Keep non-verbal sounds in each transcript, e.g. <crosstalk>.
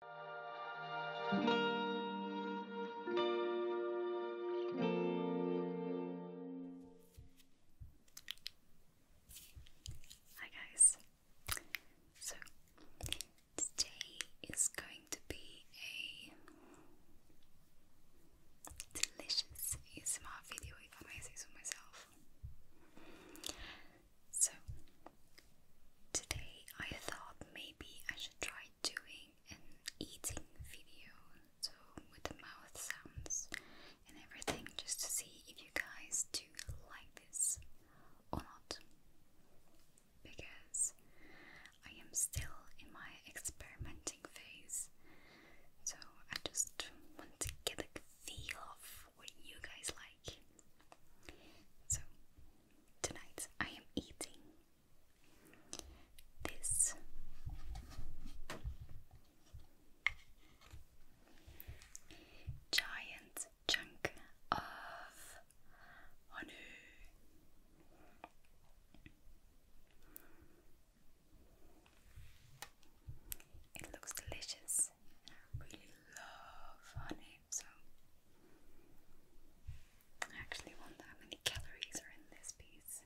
Hi guys. So today is going to be a delicious ASMR video if I may say so myself. So, today I thought maybe I should try doing an eating video, so with the mouth sounds and everything, just to see if you guys do like this or not. Because I am still in my experimenting phase, so I just want to get the feel of what you guys like. So, tonight I am eating this giant chunk of honey. It looks delicious. I really love honey name, so I actually wonder how many calories are in this piece.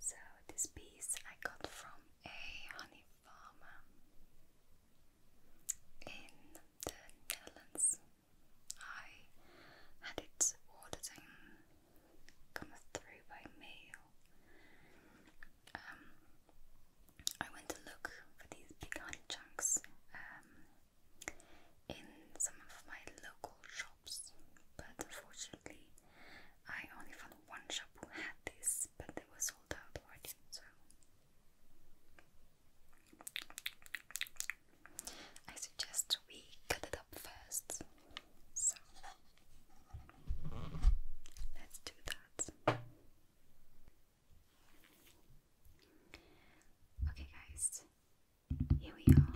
So, this piece I got from a honey farmer in the Netherlands. I had it ordered through by mail. Um, I went to look for these big honey chunks um, in some of my local shops, but unfortunately, I only found one shop who had this, but they were sold out already. So I suggest we cut it up first so let's do that. Okay, guys, here we are.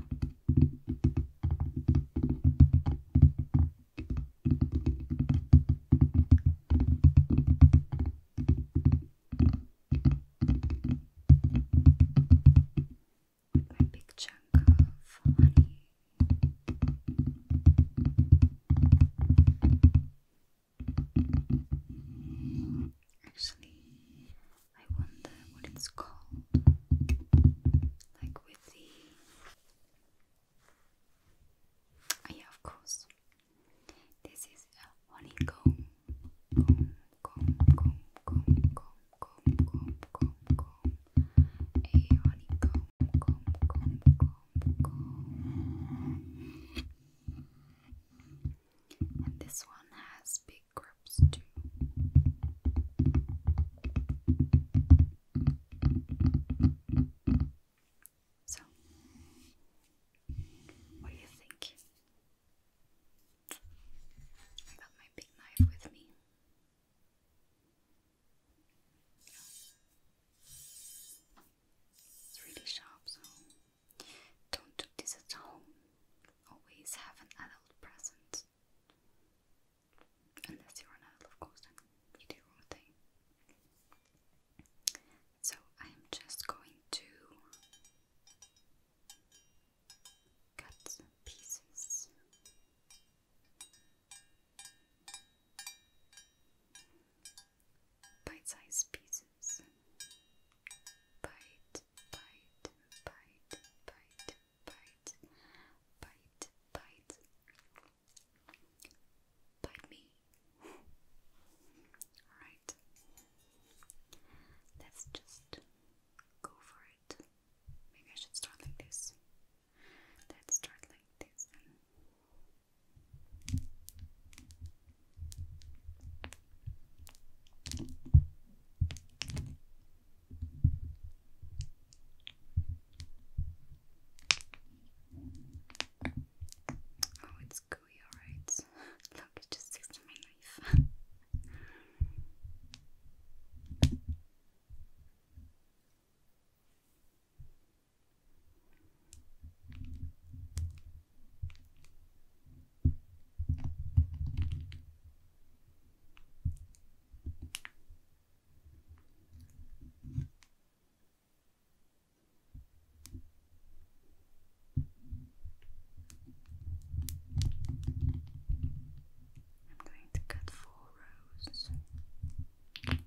With my big chunk of honey Actually, I wonder what it's called. Like with the. Oh, yeah, of course. This is a honeycomb this one has big grips too. So, what do you think? I got my big knife with me. It's really sharp, so don't do this at home. Always have an adult present. Unless you're an adult, of course, then you do your thing. So I am just going to cut pieces bite-sized pieces. Bite, bite, bite, bite, bite, bite, bite. Bite me. Alright. Let's just go for it. Maybe I should start like this. Let's start like this. Then. Oh, it's gooey, alright. <laughs> Look, it just sticks my knife. <laughs> I'm going to cut four rows don't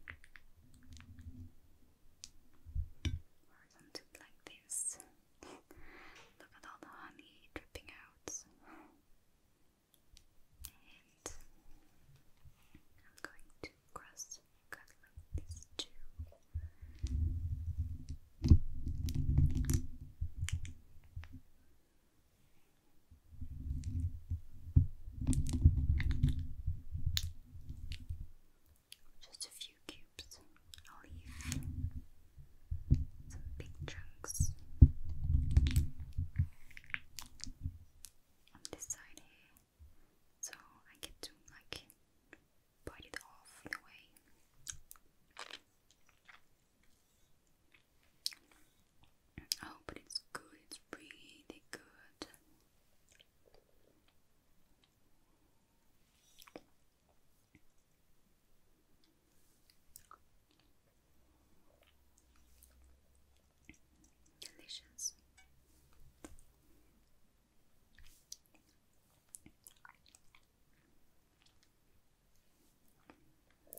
do like this. Look at all the honey dripping out. I'm going to cross cut too. Just a few cubes, a leaf, some big chunks. On this side here, so I get to like bite it off in way. Oh, but it's good, it's really good. Delicious.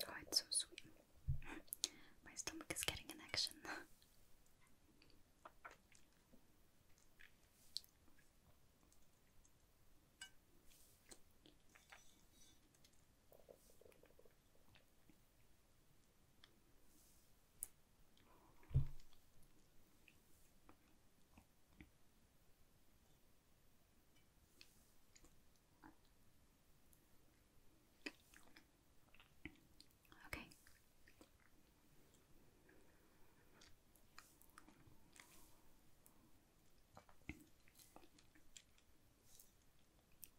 Oh, it's so sweet. My stomach is getting an action. Okay.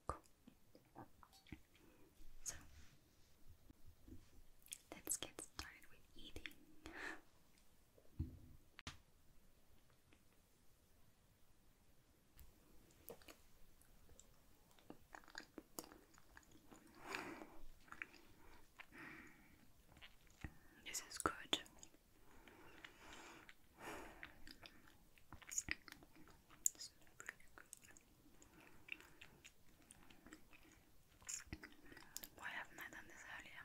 Cool. So, let's get started with eating. This is good. This is pretty good. Why haven't I done this earlier?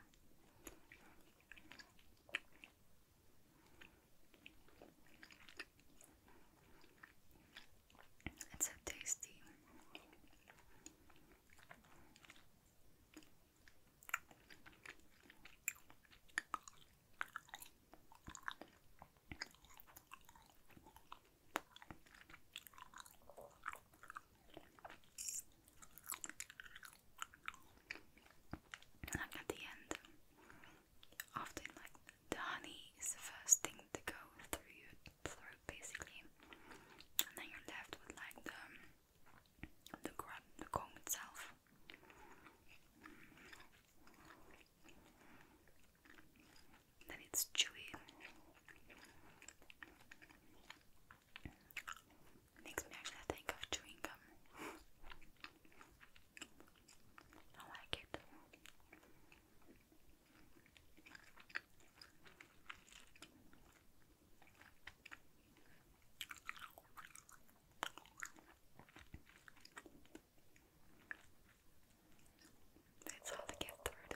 It's so tasty. Like at the end, often like the honey is the first thing to go through your throat basically and then you're left with like the the comb itself then it's chewy makes me actually think of chewing gum I like it. It's hard to get through though.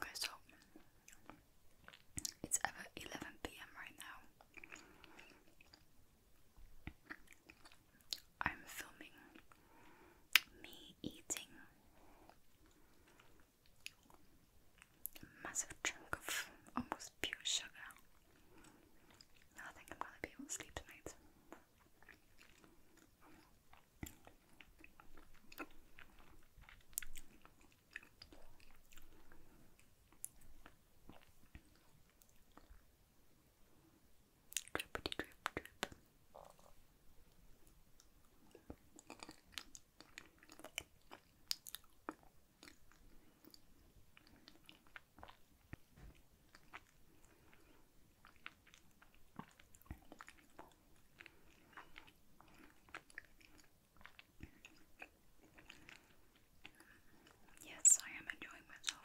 Okay, so it's ever 11 p.m. right now. I'm filming me eating massive chunk of almost pure sugar. I think I'm gonna be able to sleep tonight. Drippity drip drip. Yes, I am enjoying myself.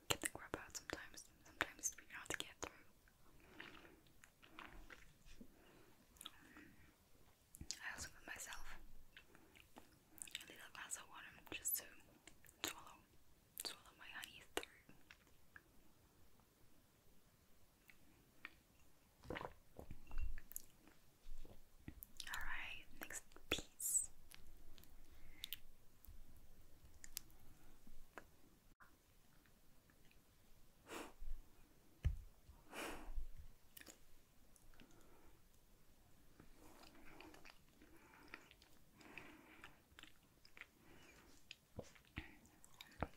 get the grub out sometimes. Sometimes we have to get through. I also put myself a little glass of water just to swallow, swallow my honey Alright, next P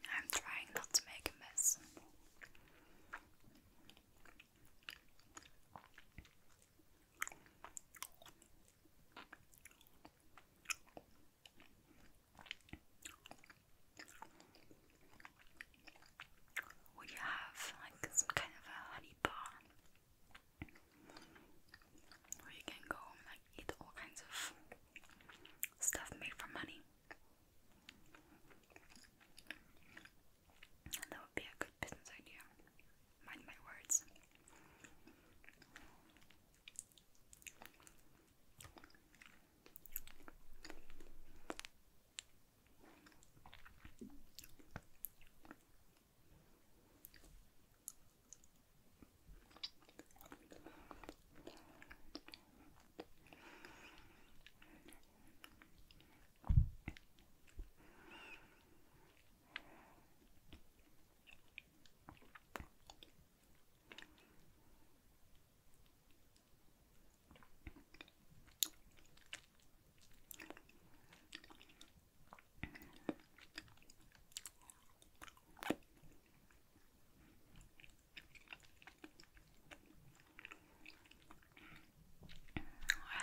I'm trying not to make a mess. Would you have like some kind of a honey bar where you can go and like eat all kinds of stuff made from honey? That would be a good business idea. Mind my words. I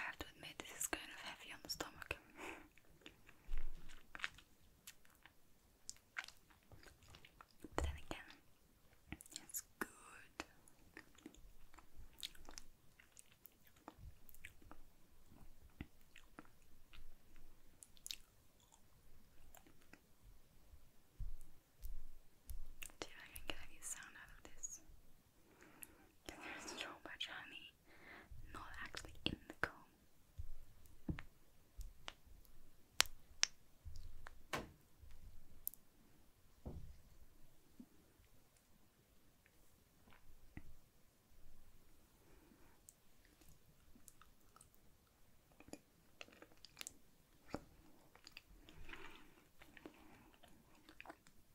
have to admit, this is kind of heavy on the stomach. <laughs> But then again, it's good. See if I can get any sound out of this. There's so much honey not actually in the comb.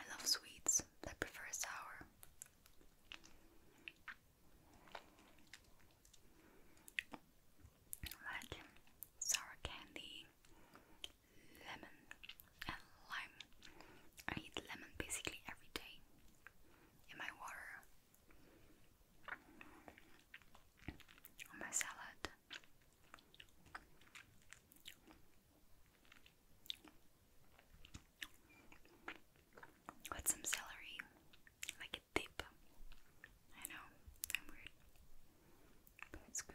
I love sweets those that prefer sour. Like sour candy, lemon, and lime. I eat lemon basically every day in my water, on my salad. With some celery, like a dip. I know, I'm weird, but it's good.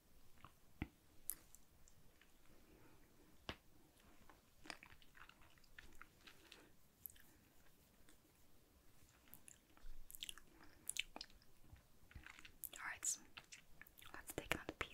Alright, so let's take another piece.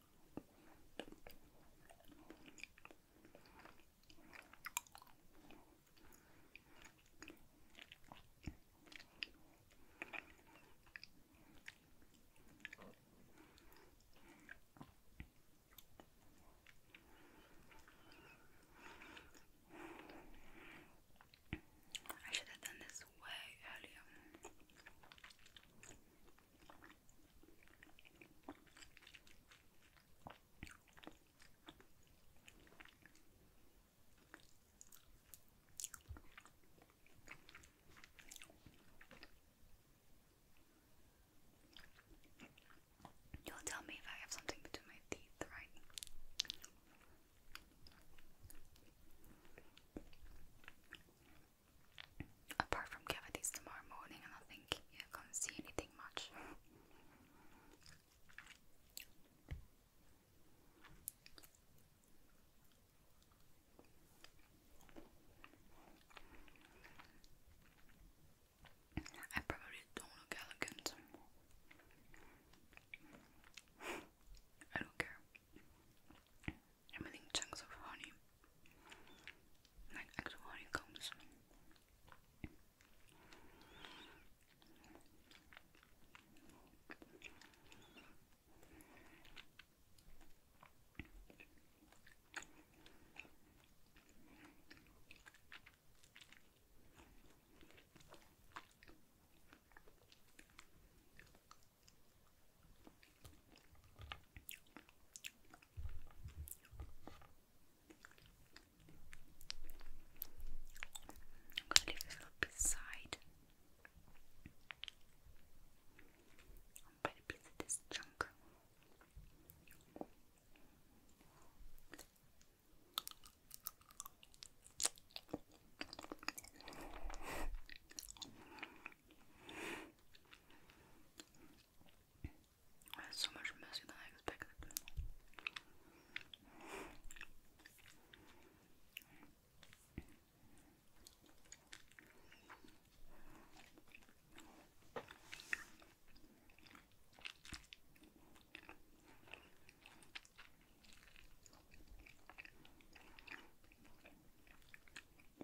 I should have done this way earlier. You'll tell me if I have something between my teeth, right? Apart from cavities tomorrow morning, and I think you're gonna see anything much. I probably don't look elegant. I don't care. I'm eating chunks of honey like actual honeycombs. I'm gonna leave a little bit I'm gonna piece this chunk. That's so much messier than I expected.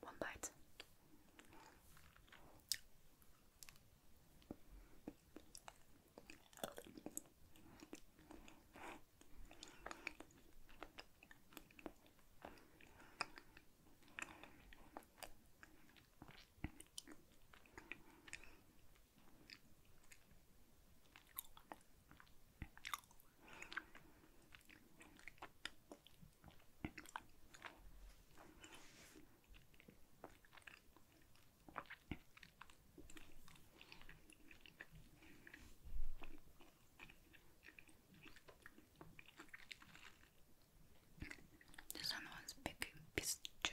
One bite. This other one's big piece too.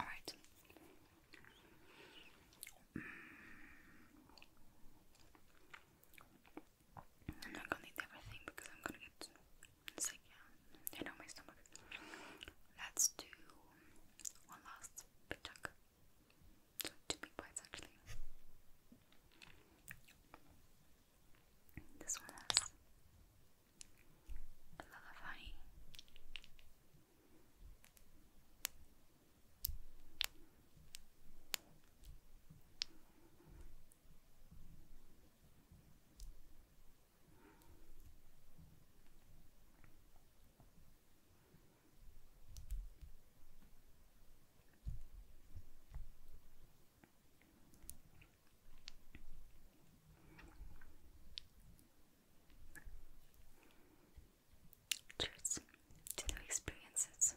All right. I'm not gonna eat everything because I'm gonna get sick, yeah. know my stomach. Let's do one last big chunk. two big bites actually. This one has a lullaby. This Cheers to new experiences.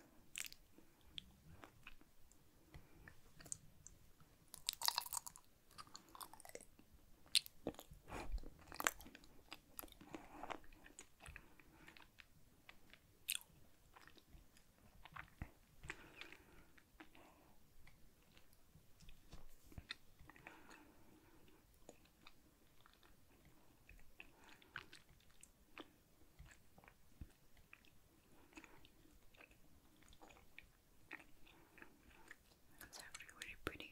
That's actually really pretty.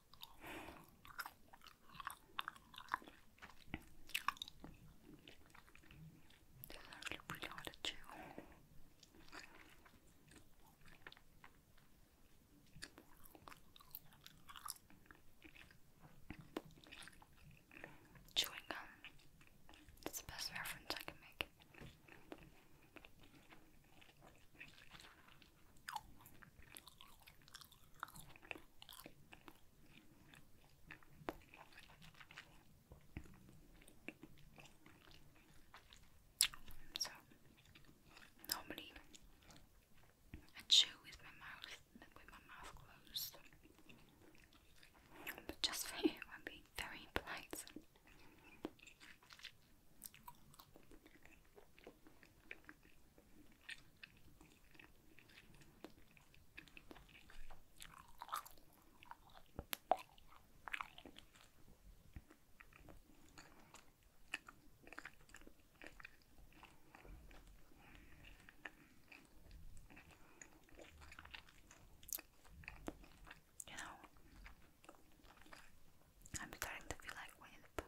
These are Chewing gum. That's the best reference I can make. So normally I chew with my mouth with my mouth closed. But just for you I'm being very polite. You know, I'm starting to feel like Winnie the Pooh.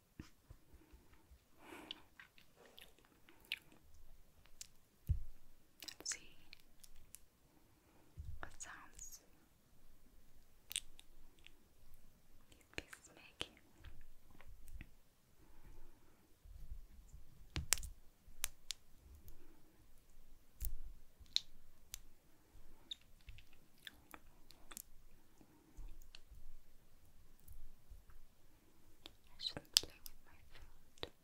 Let's see what sounds these pieces make. Let's I should play my food.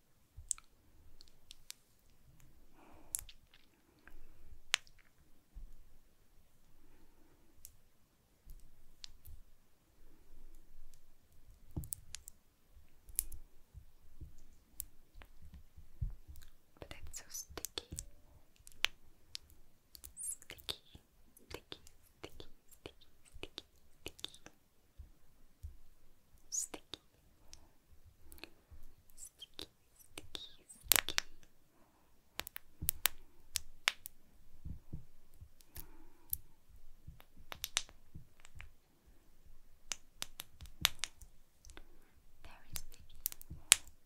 But it's so sticky, sticky sticky, sticky, sticky, sticky, sticky, sticky, sticky, sticky, sticky. Very sticky.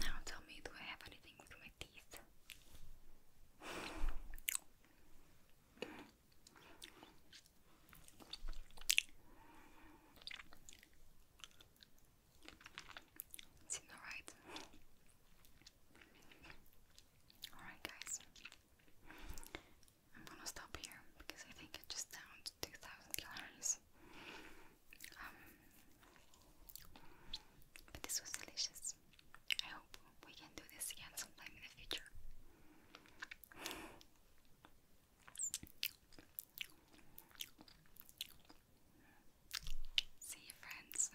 Now tell me, do I have anything with my teeth? Seems alright. Alright, guys. I'm gonna stop here because I think I just downed 2,000 calories. Um, this was delicious. I hope we can do this again sometime in the future. See you, friends.